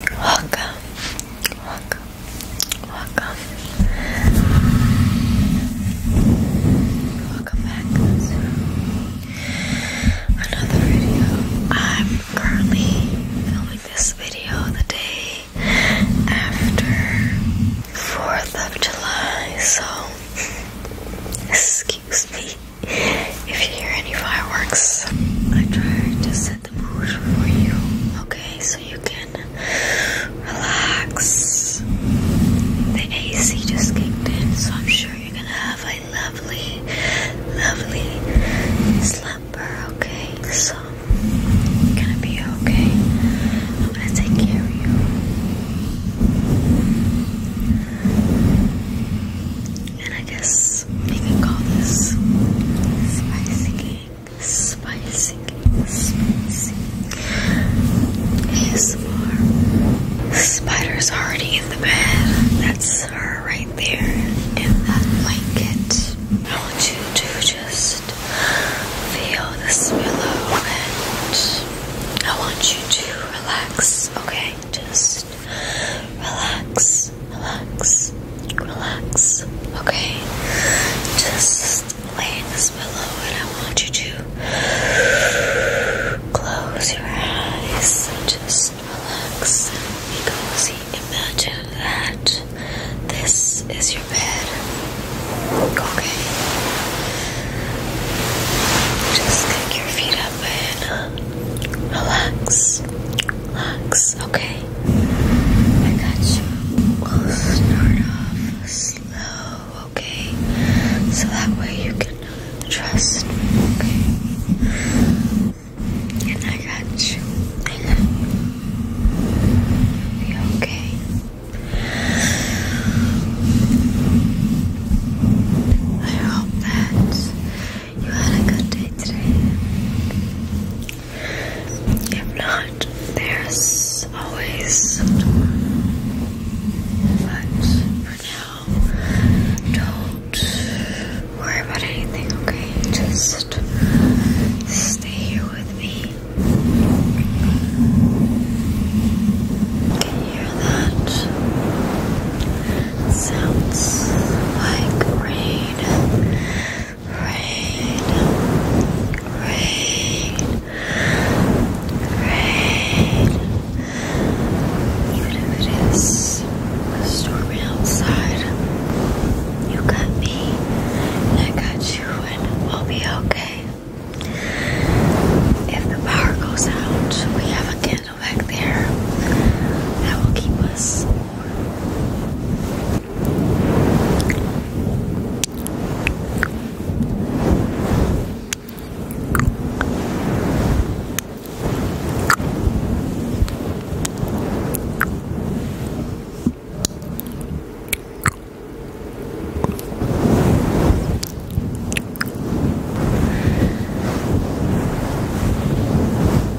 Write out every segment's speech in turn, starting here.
Welcome, welcome, welcome. Welcome back another video. I'm currently filming this video the day after 4th of July, so excuse me if you hear any fireworks. I tried to the mood for you, okay? So you can relax. The AC just kicked in, so I'm sure you're gonna have a lovely, lovely slumber, okay? So, gonna be okay. I'm gonna take care of you. And I guess we can call this spicy, spicy, spicy. more. Spider's already in the bed. That's her right there in that blanket. I want you to just feel this pillow and I want you to relax, okay? Just just relax, relax, relax, okay? Just lay in this pillow and I want you to close your eyes and just relax and be cozy. Imagine that this is your bed, okay? Just kick your feet up and relax, relax, okay? I got you. We'll start off slow, okay? So that way you can trust me, And I got you. I will be okay. I hope that you had a good day today. If not, there's always tomorrow. But for now, don't worry about anything, okay? Just stay here with me. Can you hear that? Sounds like rain, rain, rain, rain. Even if it is stormy outside, you got me, and I got you, and we'll be okay. If the power goes out, we have a candle little back there that will keep us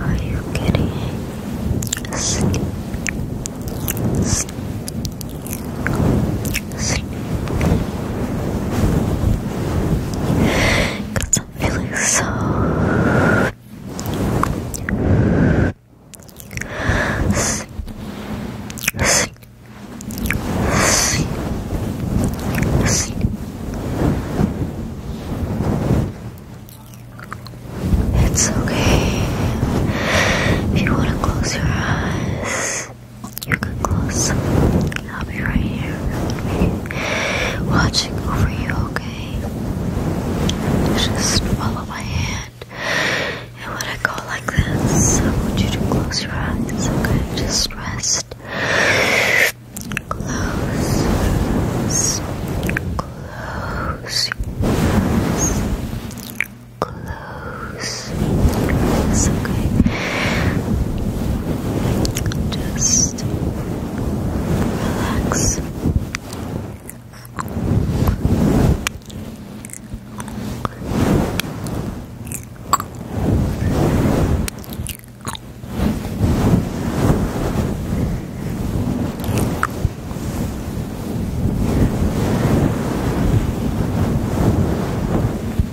Are you getting sleep? Sleep, Cause I'm feeling so It's okay if you want to close your eyes. You can close. I'll be right here. Watching over you, okay? Just follow my hand. And when I go like this, I want you to close your eyes, okay? Just rest. Close. Close close. It's okay. Just relax.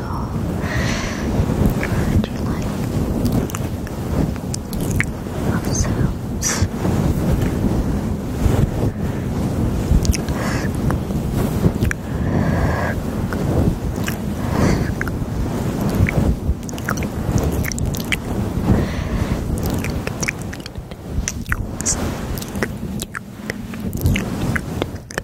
so heard like of sounds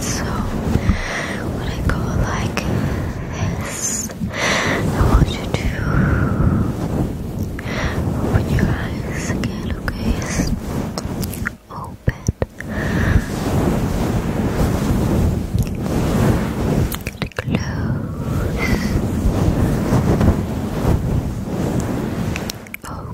So, when I go like this, I want you to open your eyes again, okay? Yes. Open. And close. Oh.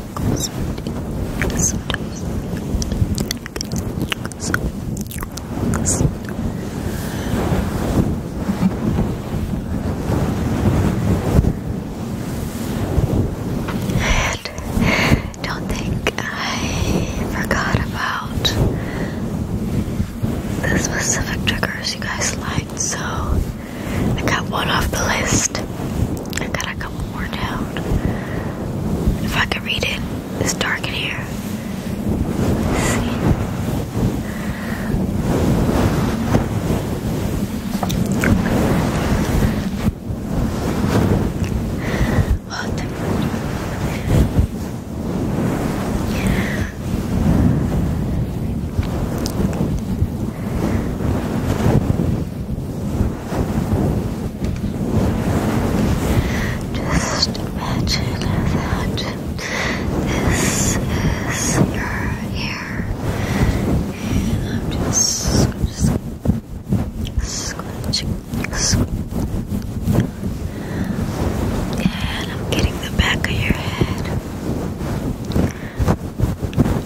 And don't think I forgot about the specific triggers you guys liked, so I got one off the list. I got a if I could read it, it's dark in here. let just imagine that this is your ear, and I'm just, just scratching, and I'm getting the back of your head.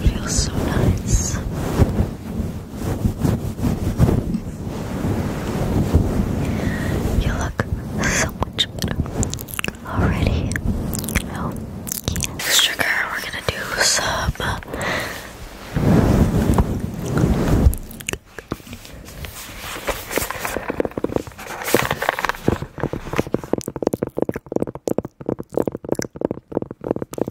feels so nice. You look so much better already. Oh, yeah. Sugar, we're gonna do some uh,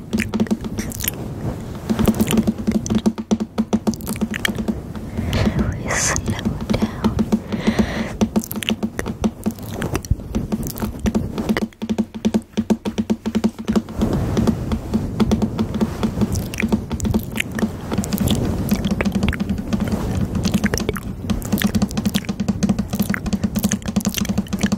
we slow down.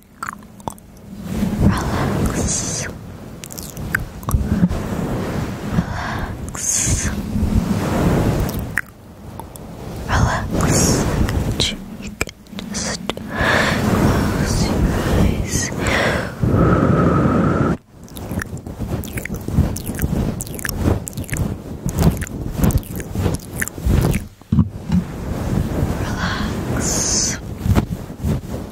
Relax. Relax. Relax. I got you. You can just close your eyes. Relax. Relax. Go to sleep. Go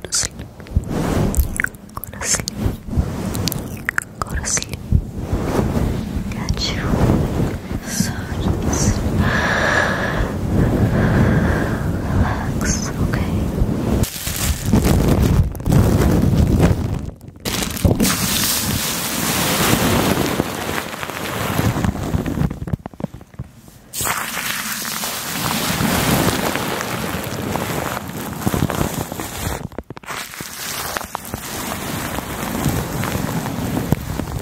to sleep. Go to sleep. Go to sleep. Go to sleep. Got you. So just relax, okay?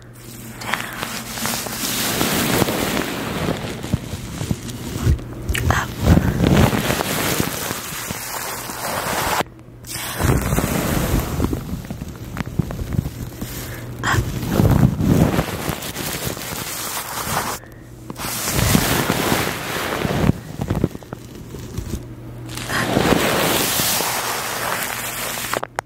Up. Up. Up.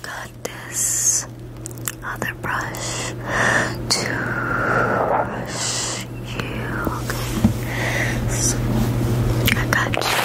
I've got this other brush to brush you. I got you.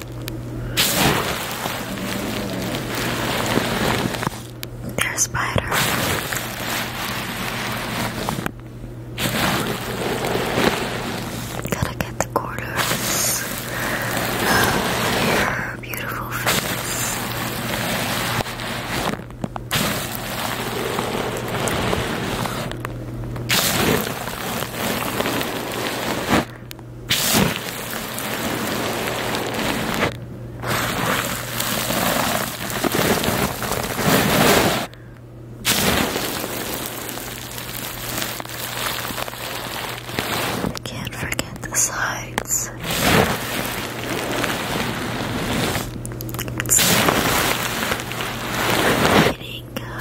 There's spider. Gotta get the quarters of your beautiful face. Can't forget the sides. Eating, uh,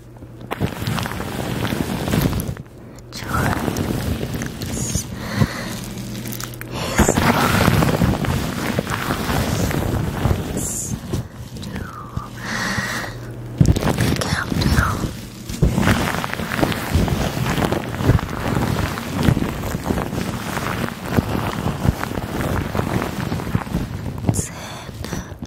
Charles his promise to countdown. Santa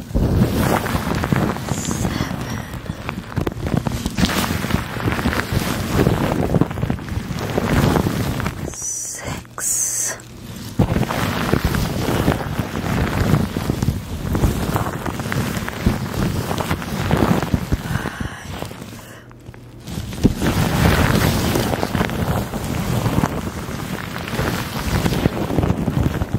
seven, six, five. Four,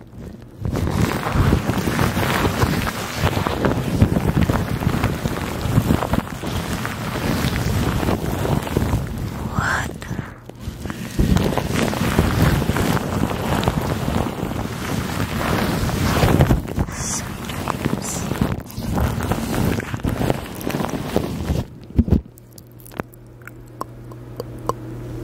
What? Sweet dreams.